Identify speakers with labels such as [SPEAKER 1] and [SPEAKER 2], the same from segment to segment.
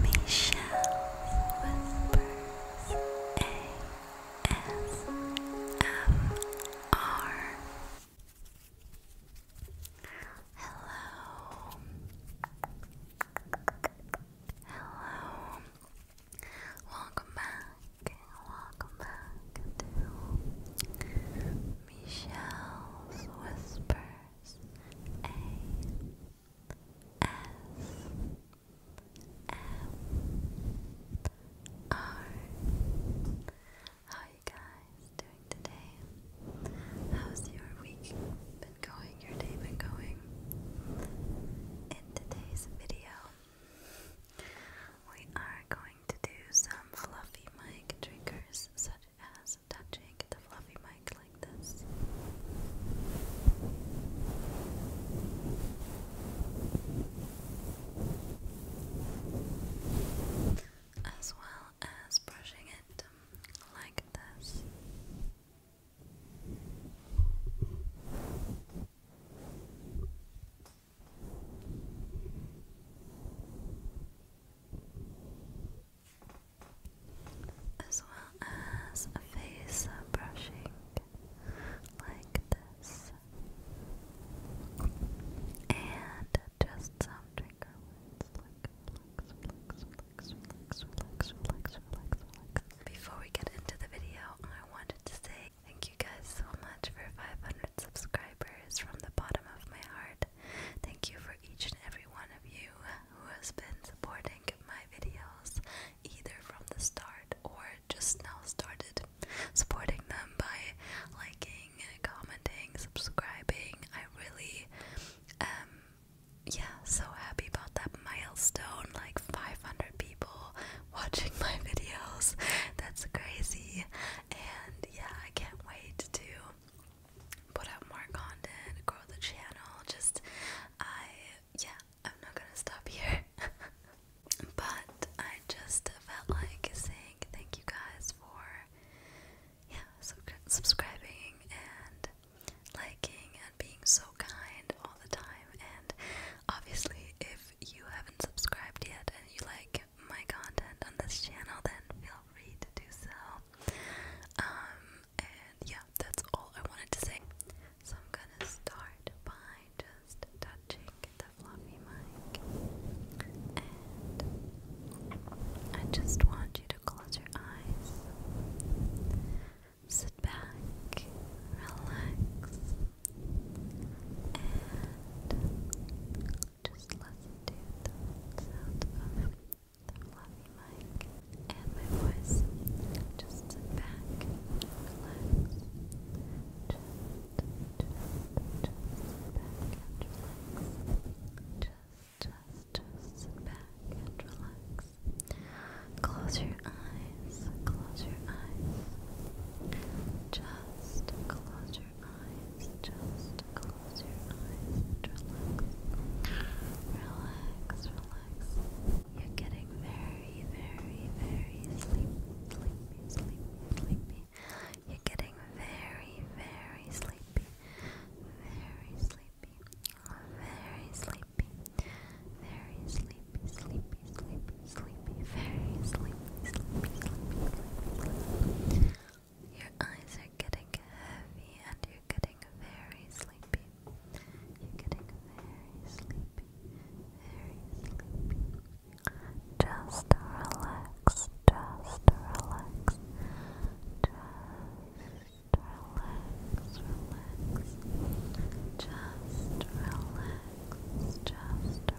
[SPEAKER 1] Michelle Whispers ASMR. Hello. Hello. Welcome back. Welcome back to Michelle's Whispers. A how are you guys doing today? How's your week been going? Your day been going? In today's video, we are going to do some fluffy mic triggers. So such as touching the fluffy mic like this. As well as brushing it um, like this as well as face brushing like this, and just some trigger words Before we get into the video, I wanted to say thank you guys so much for 500 subscribers from the bottom of my heart. Thank you for each and every one of you who has been supporting my videos either from the start or just now started. Supporting them by liking, commenting, subscribing. I really am, um, yeah, so happy about that milestone like 500 people watching my videos. That's crazy. And yeah, I can't wait to put out more content, grow the channel. Just, I, yeah, I'm not gonna stop here. but I just felt like saying thank you guys for, yeah, subscribing and liking and being so kind all the time. And obviously, if you haven't subscribed yet and you like my content on this channel, then feel free to do so. Um, and yeah, that's all I wanted to say. So I'm gonna start by just touching the fluffy mic, and I just want you to close your eyes, sit back, relax, and just listen to the sound of the fluffy mic and my voice. Just sit back, relax, just, just, just sit back and relax. Just, just, sit back and relax. Close your eyes, close your eyes. Just close your eyes, just close your eyes and relax. Relax, relax. You're getting very, very, very sleepy, sleepy, sleepy, You're getting very, very sleepy, very sleepy, very sleepy, very sleepy, sleepy, sleepy, sleepy, very sleepy. Your eyes are getting heavy and you're getting very sleepy. You're getting very sleepy. Very sleepy. Just relax. Just relax. Just relax. Relax. Just relax. Just relax.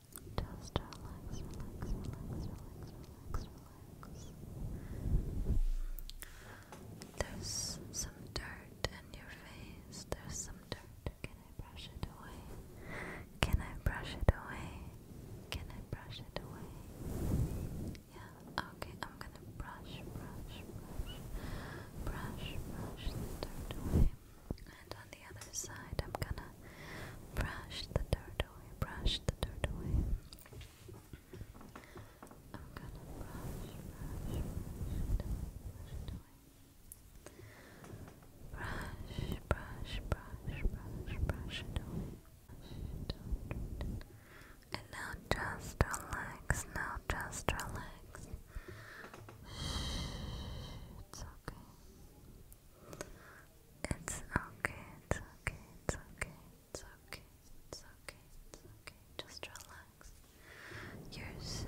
[SPEAKER 1] Just relax, relax, relax, relax, relax, relax. There's some dirt in your face. There's some dirt. Can I brush it away? Can I brush it away? Can I brush it away? Yeah, okay, I'm gonna brush, brush, brush, brush, brush the dirt away. And on the other side, I'm gonna brush the dirt away, brush the dirt away. I'm gonna brush, brush, brush it away. Brush, brush, brush, brush, brush it away. And now just relax, now just relax. Shh, it's okay. It's okay, it's okay, it's okay, it's okay, it's okay, it's okay. Just relax. You're safe,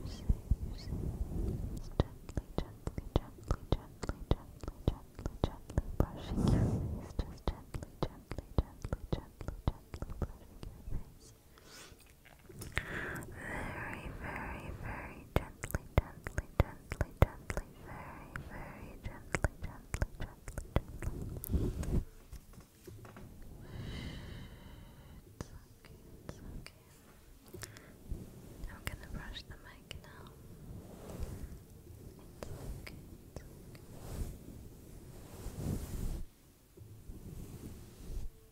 [SPEAKER 1] you're safe, you're safe. Gently, gently, gently, gently, gently, gently, gently brushing your face. Just gently, gently, gently, gently, gently brushing your face. Very, very, very gently, gently, gently, gently, very, very gently, gently, gently, gently. It's okay, it's okay. I'm gonna brush the mic now. It's okay, it's okay.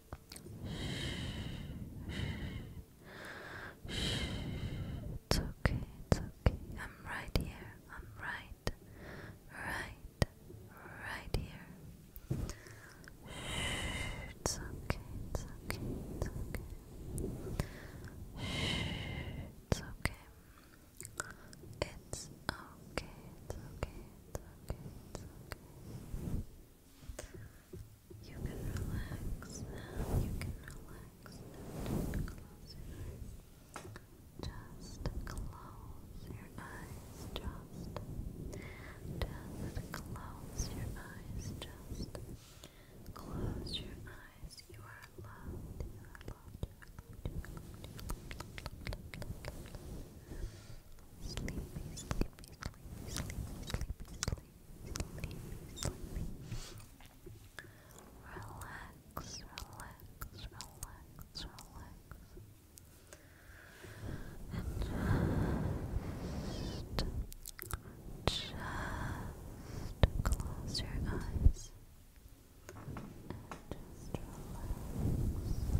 [SPEAKER 1] Shh. It's okay, it's okay. I'm right here. I'm right. Right. Right here. Shh. It's okay, it's okay, it's okay. Shh. It's okay. It's okay, it's okay. It's okay, it's okay. You can relax you can relax Just close your eyes. Just close your eyes. Just, close your eyes. You are loved. You are loved. Relax, relax, relax, relax. And just, just close your eyes. And just relax, relax, relax,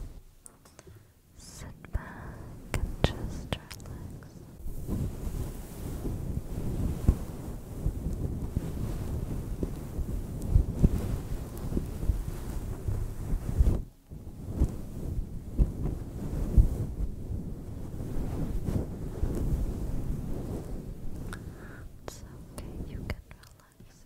[SPEAKER 1] Sit back and just relax. It's okay, you can relax.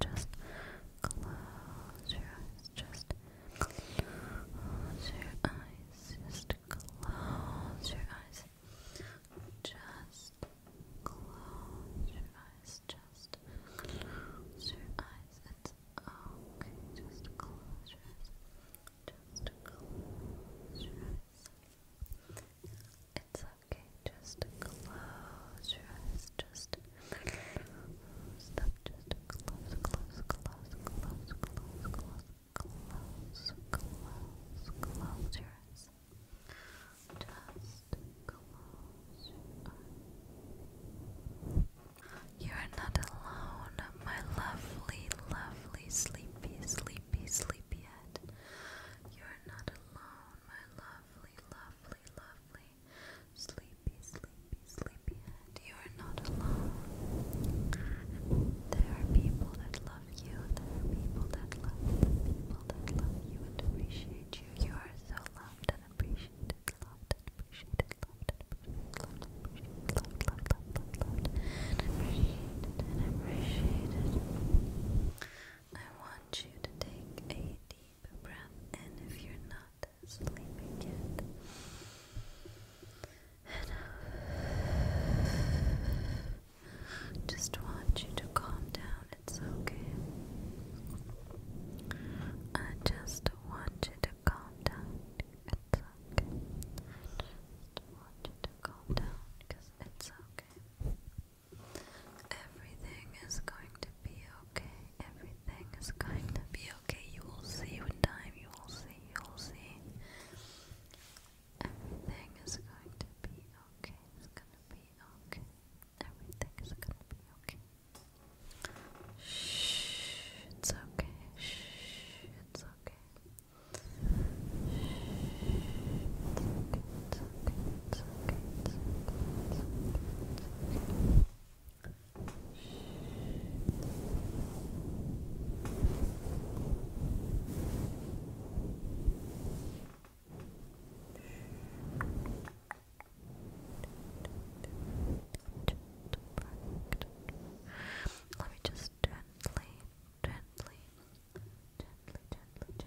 [SPEAKER 1] just close your eyes, just close your eyes, just close your eyes, just close your eyes, just close your eyes, it's okay, just close your eyes, just close your eyes. It's okay, just close your eyes, just Stop, just close, close, close, close, close, close, close, close, close your eyes. Just close your eyes. You are not alone, my lovely, lovely, sleepy, sleepy, sleepyhead. You are not alone, my lovely, lovely lovely, lovely, sleepy, sleepy, sleepy head. You are not alone. There are people that love you. There are people that love you. People that love you and appreciate you. You are so loved and appreciated. Loved and appreciated. Loved and appreciated. Loved and appreciated. Loved, loved, loved, loved, loved, and appreciated. And appreciated. I want you to take a deep and if you're not sleeping yet. And uh, Just want you to calm down. It's okay. I just want you to calm down. It's okay. I just want you to calm down because it's okay. Everything is going to be okay. Everything is going to be okay. You will see with time. You will see. You will see. Everything is going to be okay. It's going to be okay. Everything is going to be okay. Shh. It's okay. Shh, it's okay okay, it's Let me just gently, gently, gently, gently,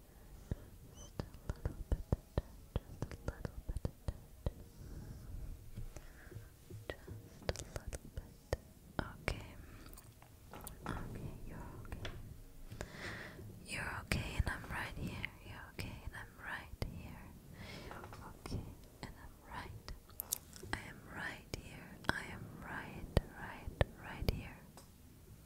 [SPEAKER 1] Just a little bit of that, just a little bit of that. Just a little bit. Okay. Okay, you're okay. You're okay and I'm right here. You're okay and I'm right here. You're okay and I'm right. I am right here. I am right, right, right here.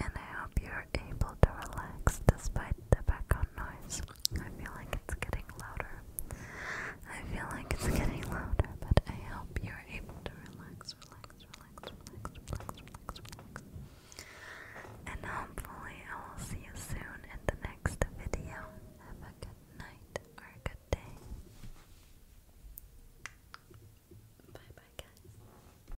[SPEAKER 1] and I hope you're able to relax despite the background noise. I feel like it's getting louder. I feel like it's getting louder, but I hope you're able to relax, relax, relax, relax, relax, relax, relax. And hopefully, I will see you soon in the next video. Have a good night or a good day. Bye bye, guys.